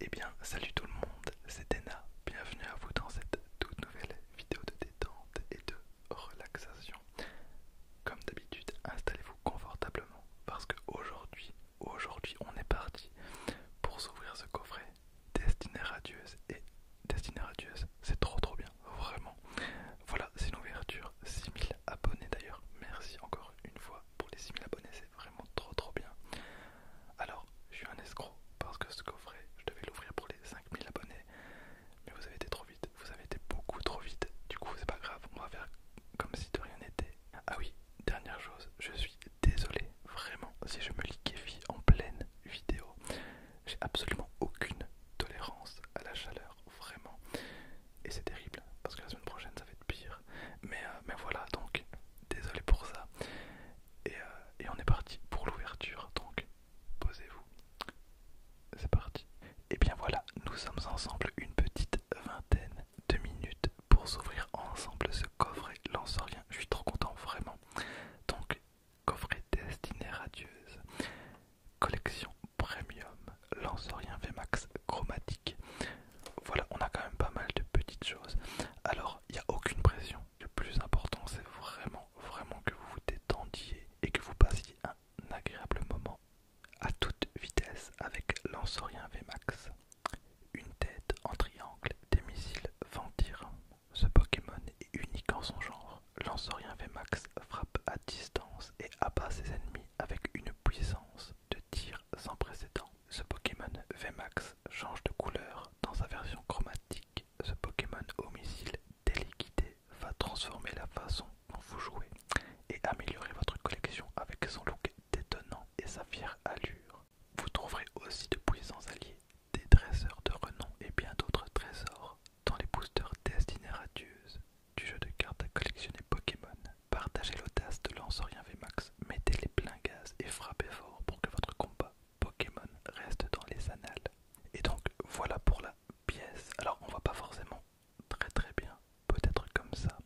Eh bien, salut tout le monde, c'est Dena, bienvenue à vous dans cette toute nouvelle vidéo de détente et de relaxation. Comme d'habitude, installez-vous confortablement parce que aujourd'hui, aujourd'hui, on est parti pour s'ouvrir ce coffret Destinée radieuse et Destinée radieuse, c'est trop trop bien, vraiment. Voilà, c'est une ouverture 6000 abonnés d'ailleurs. Merci encore une fois pour les 6000 abonnés, vraiment trop trop bien. Alors, je suis un escroc parce que ce coffret, je devais l'ouvrir pour les 5000 abonnés, mais vous avez été trop vite, vous avez été beaucoup trop vite. Du coup, c'est pas grave, on va faire comme si de rien n'était. Ah oui, dernière chose, je suis désolé, vraiment, si je me liquéfie en pleine vidéo, j'ai absolument aucune tolérance à la chaleur, vraiment. Et c'est terrible, parce que la semaine prochaine ça va être pire. Mais, euh, mais voilà, donc désolé pour ça. Euh, et, on est parti pour l'ouverture, donc posez-vous. C'est parti. Et bien voilà, nous sommes ensemble une petite vingtaine de minutes pour s'ouvrir ensemble ce coffret lansorien. Je suis trop content, vraiment. Donc, coffret destiné radieuse, collection premium, lansorien VMAX chromatique. Voilà, on a quand même pas mal de petites choses. Alors, il n'y a aucune pression. Le plus important, c'est vraiment, vraiment que vous vous détendiez et que vous passiez un agréable moment à toute vitesse avec l'ensorien VMAX. Une tête en triangle, des missiles ventir. Ce Pokémon est unique en son genre. L'ensorien VMAX frappe à distance et abat ses ennemis avec une puissance de tir sans précédent. Ce Pokémon VMAX change de couleur dans sa version chromatique. Ce Pokémon au missile va transformer la façon dont vous jouez et améliorer votre collection avec son look détonnant et sa fière allure. Vous trouverez aussi de puissants alliés, des dresseurs de renom et bien d'autres trésors dans les boosters destinés à du jeu de cartes à collectionner Pokémon. Partagez l'audace de v VMAX, mettez les pleins gaz et frappez fort pour que votre combat Pokémon reste dans les annales. Et donc voilà pour la pièce. Alors on voit pas forcément très très bien, peut-être comme ça.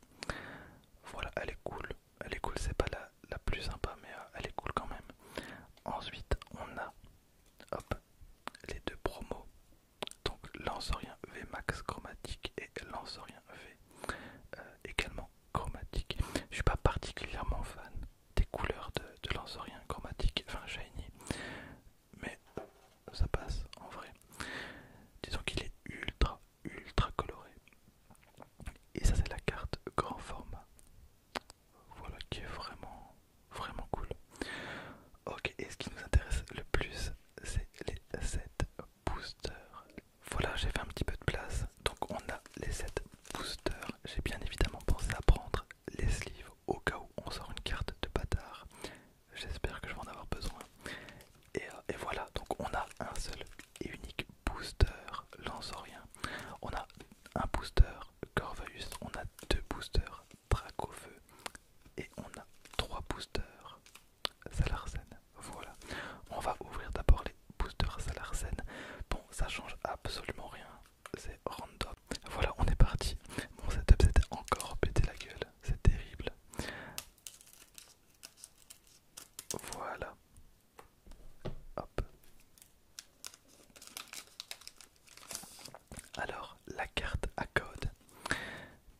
Voilà, elle est cool. Elle est cool, c'est pas la, la plus sympa, mais euh, elle est cool quand même. Ensuite on a les deux promos. Donc v VMAX chromatique et l'Ansaurien V euh, également chromatique. Je suis pas particulièrement fan des couleurs de, de chromatique, enfin shiny, mais ça passe en vrai. Disons qu'il est ultra, ultra coloré. Et ça c'est la carte grand format. Voilà qui est vraiment, vraiment cool. Ok, et ce qui nous intéresse le plus, c'est les 7 Booster, Voilà, j'ai fait un petit peu de place. Donc on a les 7 boosters. J'ai bien évidemment pensé à prendre les sleeves au cas où on sort une carte de bâtard. J'espère que je vais en avoir besoin. Et, euh, voilà, donc on a un seul et unique booster lansorien. On a un booster Corvus, on a deux boosters feu. et on a trois boosters Salarsen. Voilà. On va ouvrir d'abord les boosters Salarsen. Bon, ça change absolument rien. C'est random. Voilà, on est parti. Mon setup c'était encore pété la gueule. C'est terrible. Voilà. Hop. Alors, la carte à code.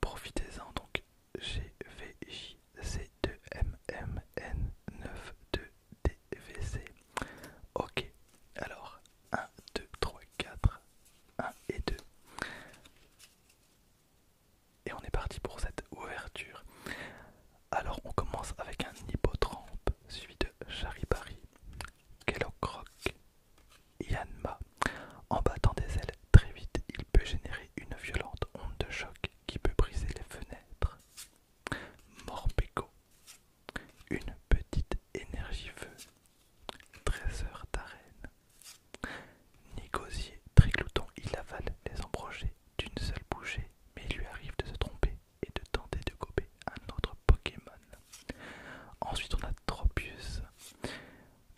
Profitez-en donc C, 2 mmn 92 dvc Ok, alors 1, 2, 3, 4, 1 et 2. Et on est parti pour cette ouverture. Alors on commence avec un hippotrampe suivi de charibari, kellogg Croque Yanma. En battant des ailes très vite, il peut générer une violente onde de choc qui peut briser les fenêtres. Morpeko. Une petite énergie feu. Trésor d'arène. Négocier triglouton, il avale les embrogés d'une seule bouchée, mais il lui arrive de se tromper et de tenter de gober un autre Pokémon. Ensuite on a Tropius.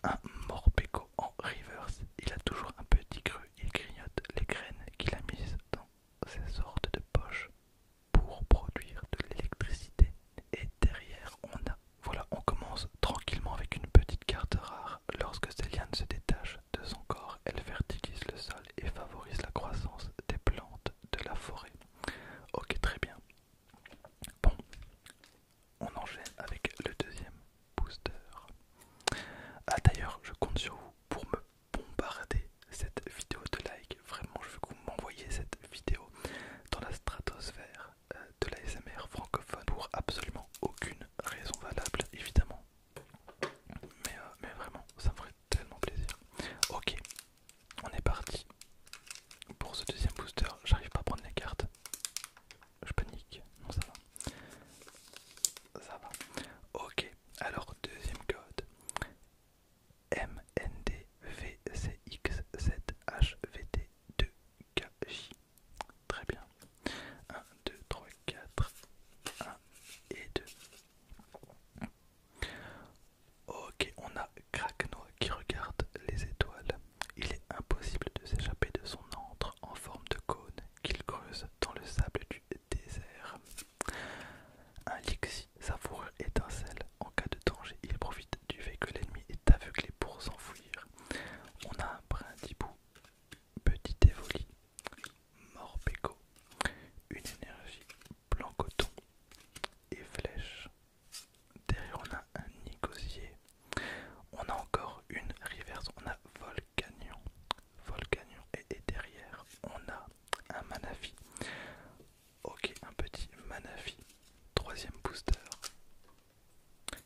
Un morbeco en reverse, il a toujours un petit creux, il grignote les graines qu'il a mises dans ces sortes de poches pour produire de l'électricité. Et derrière, on a. Voilà, on commence tranquillement avec une petite carte rare. Lorsque ces se détachent de son corps, elles fertilise le sol et favorise la croissance des plantes de la forêt. Ok, très bien. Bon, on enchaîne avec le deuxième booster. Ah d'ailleurs, je compte sur vous pour me bombarder cette vidéo de like. Vraiment, je veux que vous m'envoyiez cette vidéo dans la stratosphère euh, de la SMR francophone pour absolument aucune raison valable, évidemment. Euh, mais vraiment, ça me ferait tellement plaisir. Ok, on est parti pour ce deuxième booster. J'arrive pas à prendre les cartes. Je panique. Non, ça va. Ça va. Ok, alors deuxième code. mndvcxzhvt 7 hvt 2 kj Très bien. 1, 2, 3, 4. 1 et 2. Ok, on a Krakno qui regarde les étoiles il est impossible de s'échapper de son antre en forme de cône qu'il creuse dans le sable du désert. Un lixi, sa fourrure étincelle, en cas de danger, il profite du fait que l'ennemi est aveuglé pour s'enfuir. On a un brindibou, petit évoli, morbeco, une énergie, blanc coton et flèche, Derrière on a un Nicosier. On a encore une reverse. On a Volcanion. Volcanion. Et, derrière on a un Manafi. Ok, un petit Manafi. Troisième booster.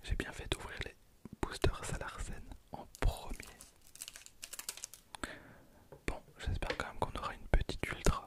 J'ai bien fait d'ouvrir les boosters Salarsen en premier. Bon, j'espère quand même qu'on aura une petite ultra.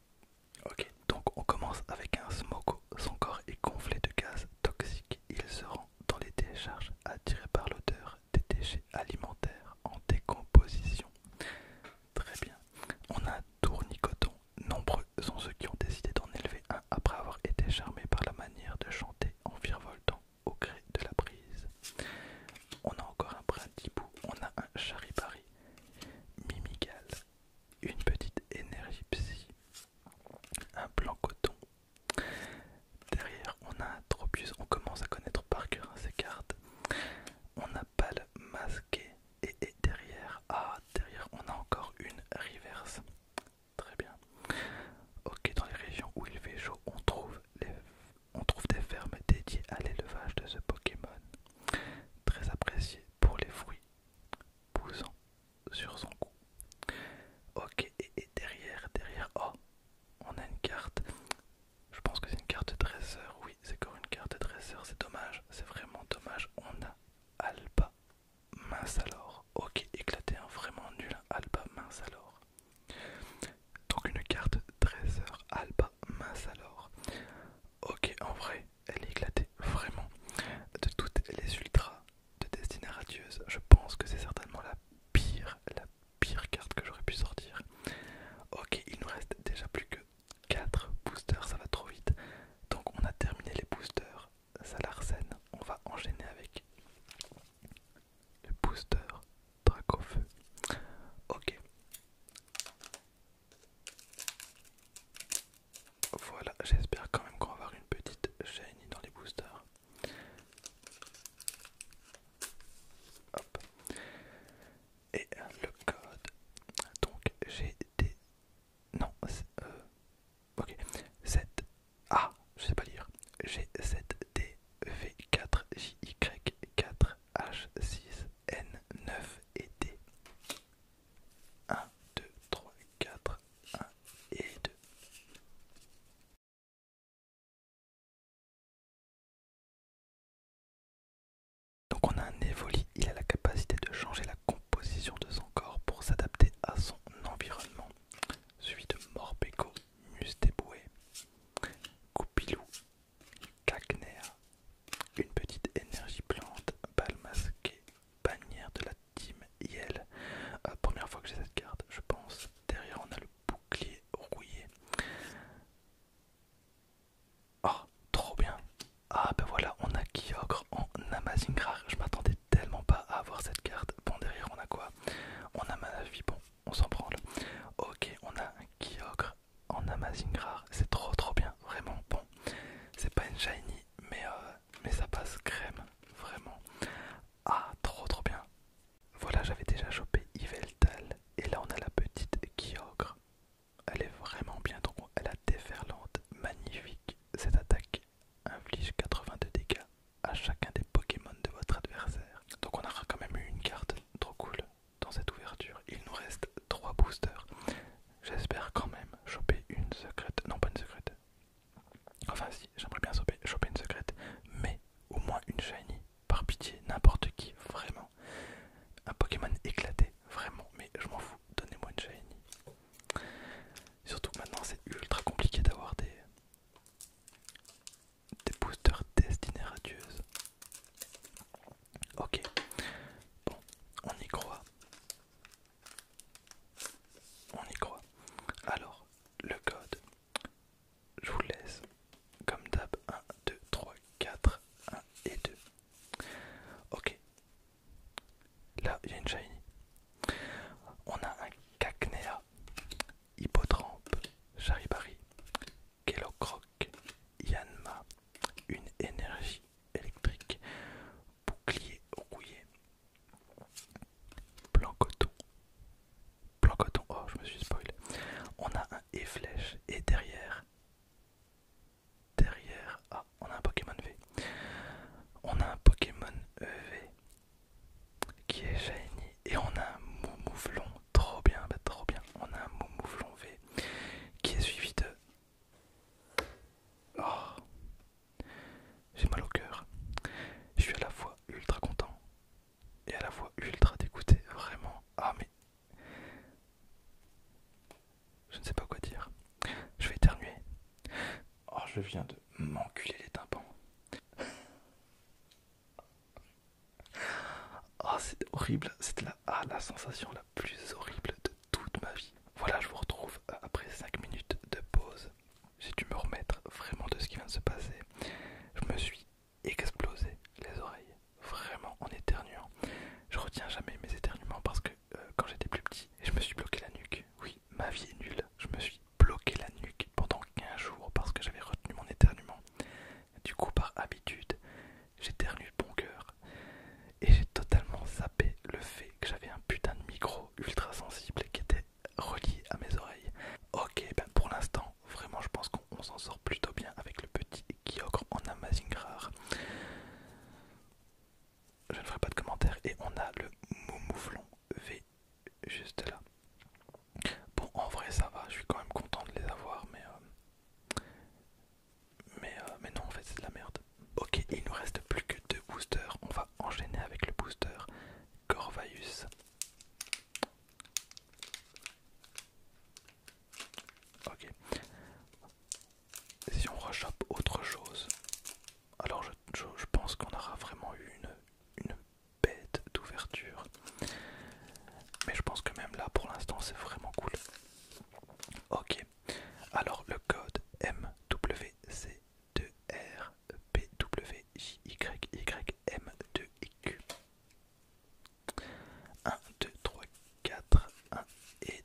Ok, donc on commence avec un smoko. Son corps est gonflé de gaz toxique. Il se rend dans les décharges attiré par l'odeur des déchets alimentaires en décomposition. Très bien. On a un tournicoton. Nombreux sont ceux qui ont décidé d'en élever un après avoir été charmés par la manière de chanter en virevoltant au gré de la brise. On a encore un brindibou. On a un charibari. Mimigal, une petite énergie psy, un blanc coton. Derrière, on a un Tropius, on commence à connaître par cœur ses hein, cartes. On a Pâle masqué et, et derrière, ah, derrière, on a encore une reverse. Très bien. Ok, dans les régions où il fait chaud, on trouve les on trouve des fermes dédiées à l'élevage de ce Pokémon, très apprécié pour les fruits poussant sur son cou. Ok, et, derrière, derrière, oh, on a une carte. Je pense que c'est une carte dresseur, oui, c'est encore une carte dresseur, c'est dommage, c'est vraiment dommage. On a Alba, mince alors, ok, éclaté, un hein, vraiment nul, hein. Alba, mince alors. Donc une carte Dresser Alba, mince alors. Ok, en vrai, elle est éclatée, vraiment. De toutes les ultras de Destinée Radieuse, je pense que c'est certainement la pire, la pire carte que j'aurais pu sortir. Ok, il nous reste déjà plus que 4 boosters, ça va trop vite. Donc on a terminé les boosters, ça l'arsène. On va enchaîner avec le booster feu Ok. Voilà, j'espère quand même qu'on va avoir une petite chaîne dans les boosters. Hop. Et le code. Donc j'ai des. Non, euh, ok. 7. Ah, je sais pas lire. g 7 V 4 J Y 4 H6N9 et D. 1, 2, 3, 4, 1 et 2. Donc on a un évoli, il a la capacité de changer la composition de son corps pour s'adapter à son environnement. Suivi de Morpeko, Mustéboué, Coupilou. Kagner, une petite énergie plante, balle masquée, bannière de la team Yel. Euh, première fois que j'ai cette carte, je pense. Derrière, on a le bouclier rouillé. Oh, trop bien! Ah, ben voilà, on a Kyogre en Amazing Rare. Je m'attendais tellement pas à avoir cette carte. Bon, derrière, on a quoi? On a vipon on s'en branle. Ok, on a un Kyogre en Amazing Rare, c'est trop trop bien, vraiment bon. C'est pas une shiny, mais, euh, mais ça passe crème, vraiment. Ah, trop trop bien. Voilà, j'avais déjà chopé Yveltal, et là on a la petite Kyogre. Elle est vraiment bien, donc elle a déferlante, magnifique. Cette attaque inflige 82 dégâts à chacun des Pokémon de votre adversaire. Donc on a quand même eu une carte trop cool dans cette ouverture. Il nous reste 3 boosters. J'espère quand même choper une secrète. Non, pas une secrète. Enfin, si, j'aimerais bien choper, une secrète, mais au moins une shiny. Par pitié, n'importe qui, vraiment. Un Pokémon éclaté, vraiment, mais je m'en fous. Donnez-moi une shiny. Surtout que maintenant, c'est ultra compliqué d'avoir des des boosters destinés radieuse. Ok, bon, on y croit. On y croit. Alors, le code, je vous laisse comme d'hab 1, 2, 3, 4, 1 et 2. Ok, là il y a une shiny. On a un Cacnea. Hippotrampe, Charibari, Kelocroc, Yanma, une énergie électrique, bouclier rouillé, blanc coton, blanc coton, oh je me suis spoilé, on a un e flèche et derrière, derrière, ah on a un Pokémon V, on a un Pokémon EV. Euh, qui est génie, et on a un mouvement trop bien bah trop bien on a un mouvement V qui est suivi de oh j'ai mal au cœur je suis à la fois ultra content et à la fois ultra dégoûté vraiment ah mais je ne sais pas quoi dire je vais éternuer oh je viens de m'enculer les tympans Oh, c'est horrible, c'est la, ah, la sensation la plus horrible de toute ma vie. Voilà, je vous retrouve euh, après 5 minutes de pause. J'ai dû me remettre vraiment de ce qui vient de se passer. Je me suis explosé les oreilles, vraiment en éternuant. Je retiens jamais mes éternuements parce que euh, quand j'étais plus petit, je me suis bloqué la nuque. Oui, ma vie est nulle. Je me suis bloqué la nuque pendant 15 jours parce que j'avais retenu mon éternuement. Du coup, par habitude, j'éternue de bon cœur. Et j'ai totalement zappé le fait que j'avais un putain de micro ultra sensible qui était relié à mes oreilles. Ok, ben pour l'instant, vraiment, je pense qu'on s'en sort plutôt bien avec le petit Kyogre en Amazing Rare. Je ne ferai pas de commentaires et on a le Moumouflon V juste là. Bon, en vrai, ça va, je suis quand même content de les avoir, mais. Euh, euh, mais, non, en fait, c'est de la merde. Ok, il nous reste plus que deux boosters. On va enchaîner avec le booster Corvaeus. Ok. Si on rechappe autre chose, alors je, je, pense qu'on aura vraiment eu une, une bête d'ouverture. Mais je pense que même là, pour l'instant, c'est vraiment cool. Ok. Alors, le code mwc 2 R Y M 2 Q 1, 2, 3, 4, 1 et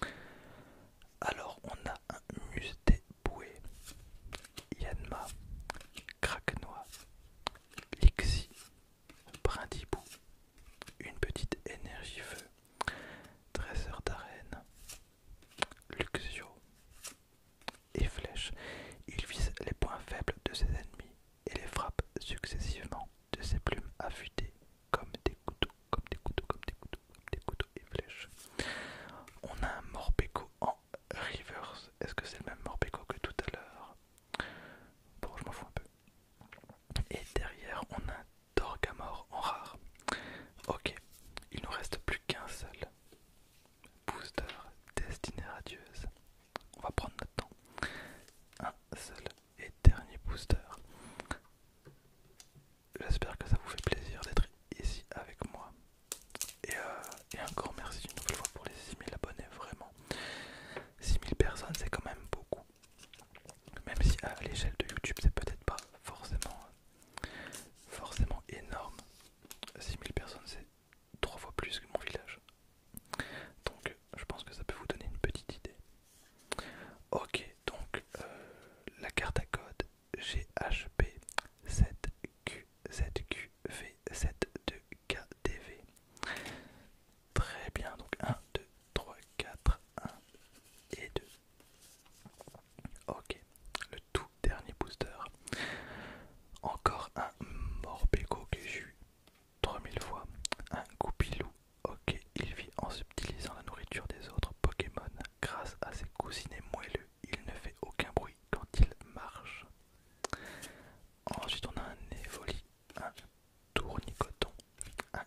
2. Alors, on a un mus des Yanma, Craquenois, Lixi, Brindibou, Une Petite Énergie Feu, Dresseur d'Arène, Luxio et Flèche. Il vise les points faibles de ses ennemis et les frappe successivement de ses plumes affûtées comme des couteaux, comme des couteaux, comme des couteaux, comme des couteaux et On a un en reverse. Est-ce que c'est le même Morbeco que tout à l'heure Bon, je m'en fous un peu. Et derrière, on a un en rare. Ok, il nous reste plus qu'un seul booster destiné radieuse. On va prendre notre temps. Un seul et dernier booster j'espère que ça vous fait plaisir d'être ici avec moi. Et, encore euh, merci une nouvelle fois pour les 6000 abonnés, vraiment. 6000 personnes, c'est quand même beaucoup. Même si à l'échelle de YouTube, c'est peut-être pas forcément, forcément énorme. 6000 personnes, c'est trois fois plus que mon village. Donc, je pense que ça peut vous donner une petite idée. Ok, donc euh, la carte à code GHP 7Q, 7QV, 72KDV. Très bien, donc 1, 2, 3, 4, 1 et 2. Ok, le tout dernier booster. Encore un Morpeko que j'ai eu 3000 fois. Un Goupilou, ok, il vit en subtilisant la nourriture des autres Pokémon grâce à ses cousinets moelleux, il ne fait aucun bruit quand il marche. Ensuite, on a un évoli, un tournicoton, un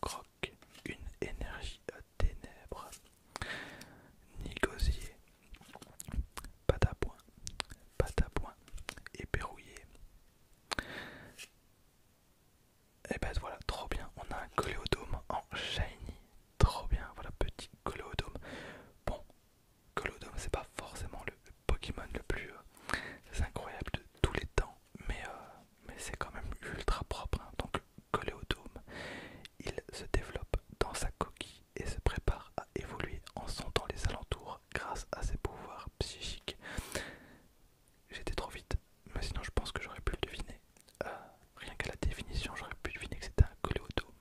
croque, une énergie à ténèbres, nigosier, patapoin, et éperrouillé. Et ben voilà, trop bien. On a un coléodome en shiny. Trop bien, voilà, petit coléodome. Bon, coléodome, c'est pas forcément le, Pokémon le plus euh, incroyable de tous les temps, mais, euh, c'est quand même ultra propre. Hein. Donc, coléodome, il se développe dans sa coquille et se prépare à évoluer en sentant les alentours grâce à ses pouvoirs psychiques. J'étais trop vite, mais sinon je pense que j'aurais pu le deviner. Euh, rien qu'à la définition, j'aurais pu deviner que c'était un coléodome.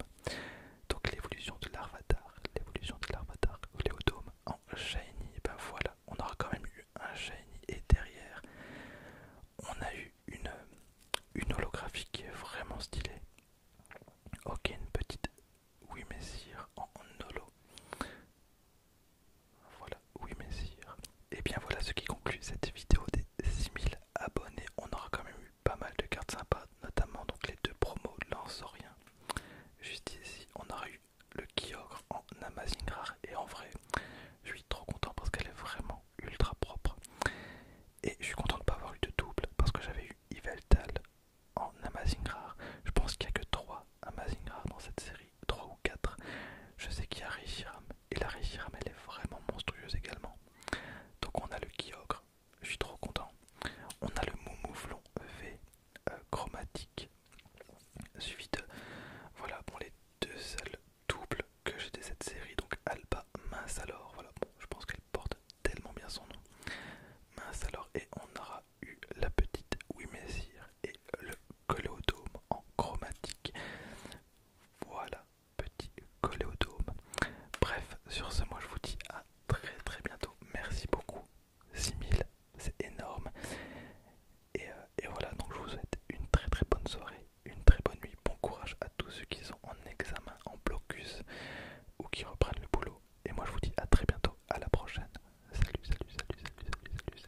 Donc l'évolution de l'arvatar, l'évolution de l'arvatar coléodome en shiny, eh ben voilà, on aura quand même eu un shiny et derrière on a eu une, une holographie qui est vraiment stylée. Ok, une petite oui messire en holo. Voilà, oui messieurs. Hein. Et eh bien voilà ce qui conclut cette vidéo des 6000 abonnés. On aura quand même eu pas mal de cartes sympas, notamment donc les deux promos Lansorien. Juste ici, on aura eu le Kyogre en Amazing Rare. Et en vrai, je suis trop content parce qu'elle est vraiment ultra propre. Et je suis content de ne pas avoir eu de double parce que j'avais eu Yveltal en Amazing Rare. Je pense qu'il n'y a que trois Amazing rares dans cette série. 3 ou 4. Je sais qu'il y a Rishiram, et la Rishiram elle est vraiment monstrueuse également. Donc on a le Kyogre, je suis trop content. On a le Moumouflon V euh, chromatique, suivi de. Voilà, bon, les deux seuls doubles que j'ai de cette série, donc Alba Mince alors, voilà, bon, je pense qu'elle porte tellement bien son nom. Mince alors, et on aura eu la petite Wimesir et le coléodome en chromatique. Voilà, petit coléodome. Bref, sur ce, moi je vous dis à très très bientôt. Merci beaucoup. 6000, c'est énorme. Et, euh, et voilà, donc je vous souhaite une très très bonne soirée, une très bonne nuit. Bon courage à tous ceux qui sont en examen, en blocus ou qui reprennent le boulot. Et moi je vous dis à très bientôt, à la prochaine. Salut, salut, salut, salut, salut, salut, salut.